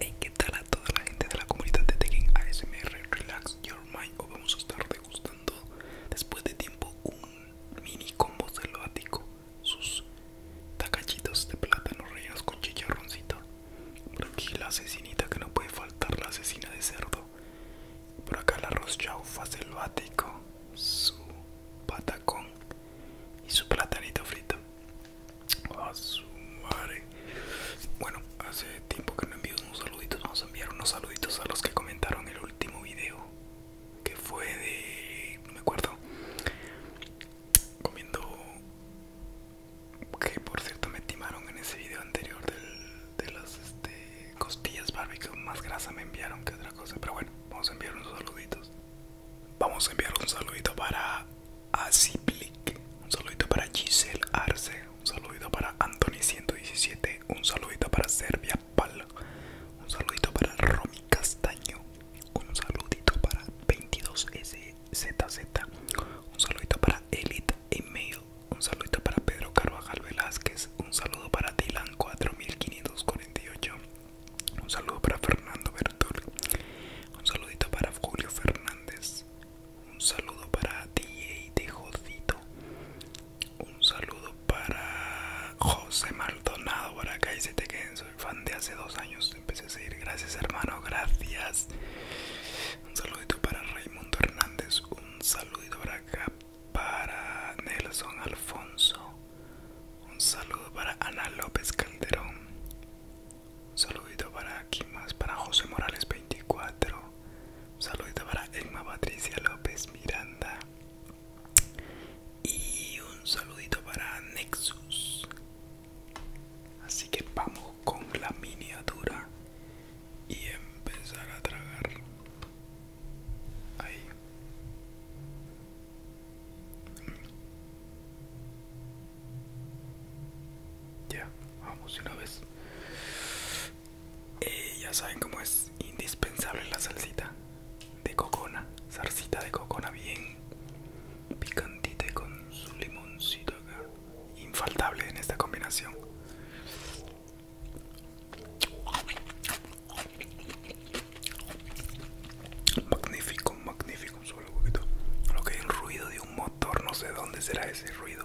Hey, ¿qué tal a toda la gente de la comunidad de Tekken ASMR Relax Your Mind? Hoy vamos a estar degustando después de tiempo un mini combo selvático, sus tacachitos de plátano rellenos con chicharroncito por aquí la asesinita que no puede faltar, la asesina de cerdo. Por acá el arroz chaufa selvático, su patacón y su platanito frito. su Bueno, hace tiempo que no envío unos saluditos. Vamos a enviar unos saluditos a los que comentaron el último video. Que fue de. No me acuerdo. Comiendo que por cierto me timaron en ese video anterior de las este, costillas barbecue más grasa me enviaron que otra cosa pero bueno vamos a enviar unos saluditos vamos a enviar un saludito para Aziplic un saludito para Giselle Arce un saludito para Anthony 117 un saludito para Serbia Pal un saludito para Romi Castaño un saludito para 22S ZZ. Un saludito para Elite Email. Un saludito para Pedro Carvajal Velázquez. Un saludo para Dylan 4548. Un saludo para Fernando Bertol. Un saludito para Julio Fernández. Un saludo para DJ de Un saludo para José Maldonado. para que ahí se te queden soy fan de hace dos años. Empecé a seguir. Gracias, hermano. Gracias. Un saludito para Raimundo Hernández. Un saludito para para Nelson Alfonso. Un saludo para Ana López Calderón. Un saludito para Kimas para José Morales 24. Un saludito para Emma Patricia López Miranda. Y un saludito para Nexus. Así que vamos con la miniatura y empezar a tragar. Ahí. Ya, vamos una vez. Eh, ya saben cómo es indispensable la salsita de cocona, salsita de cocona bien picantita y con su limoncito acá. Infaltable en esta combinación. Magnífico, magnífico. Solo un poquito. Lo que hay el ruido de un motor, no sé dónde será ese ruido.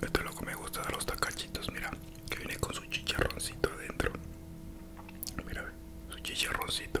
Esto es lo que me gusta de los tacachitos, mira, que viene con su chicharroncito adentro. Mira, su chicharroncito.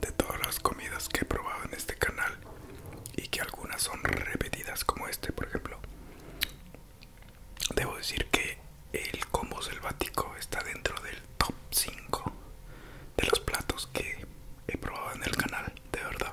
De todas las comidas que he probado en este canal y que algunas son repetidas como este por ejemplo, debo decir que el combo selvático está dentro del top 5 de los platos que he probado en el canal, de verdad.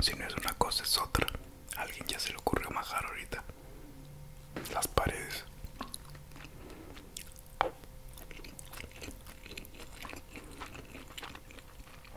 Si no es una cosa es otra. alguien ya se le ocurrió majar ahorita. Las paredes.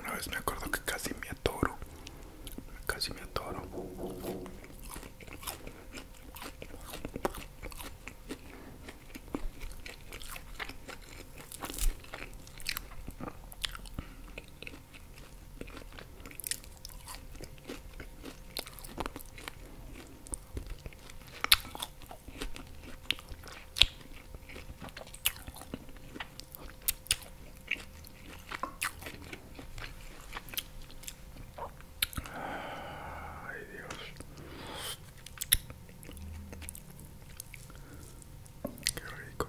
Una vez me acuerdo que casi me atoro. Casi me atoro. Ay, Dios. Qué rico.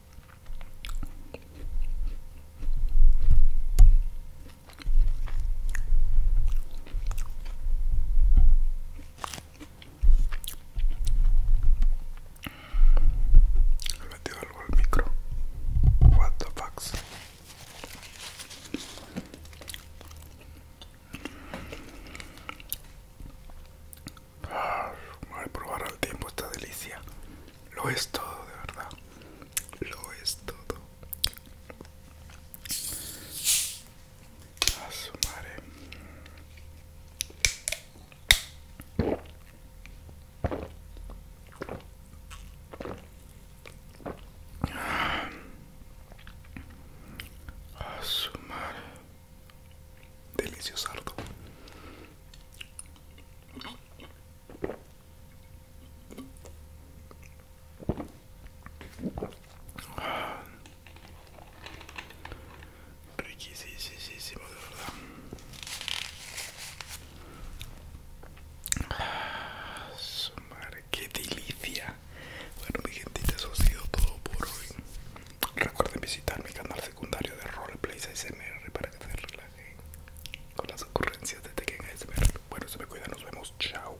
Le metió algo al micro. What the fuck? Voy probar al tiempo esta delicia. Lo es todo, de verdad. Lo es todo. A Asumare Delicioso, Riquísimo, de verdad. su madre, qué delicia. Bueno, mi gente, eso ha sido todo por hoy. Recuerden visitar mi canal secundario de Roleplay ASMR para que se relajen con las ocurrencias de Tekken ASMR. Bueno, se me cuida, nos vemos, chao.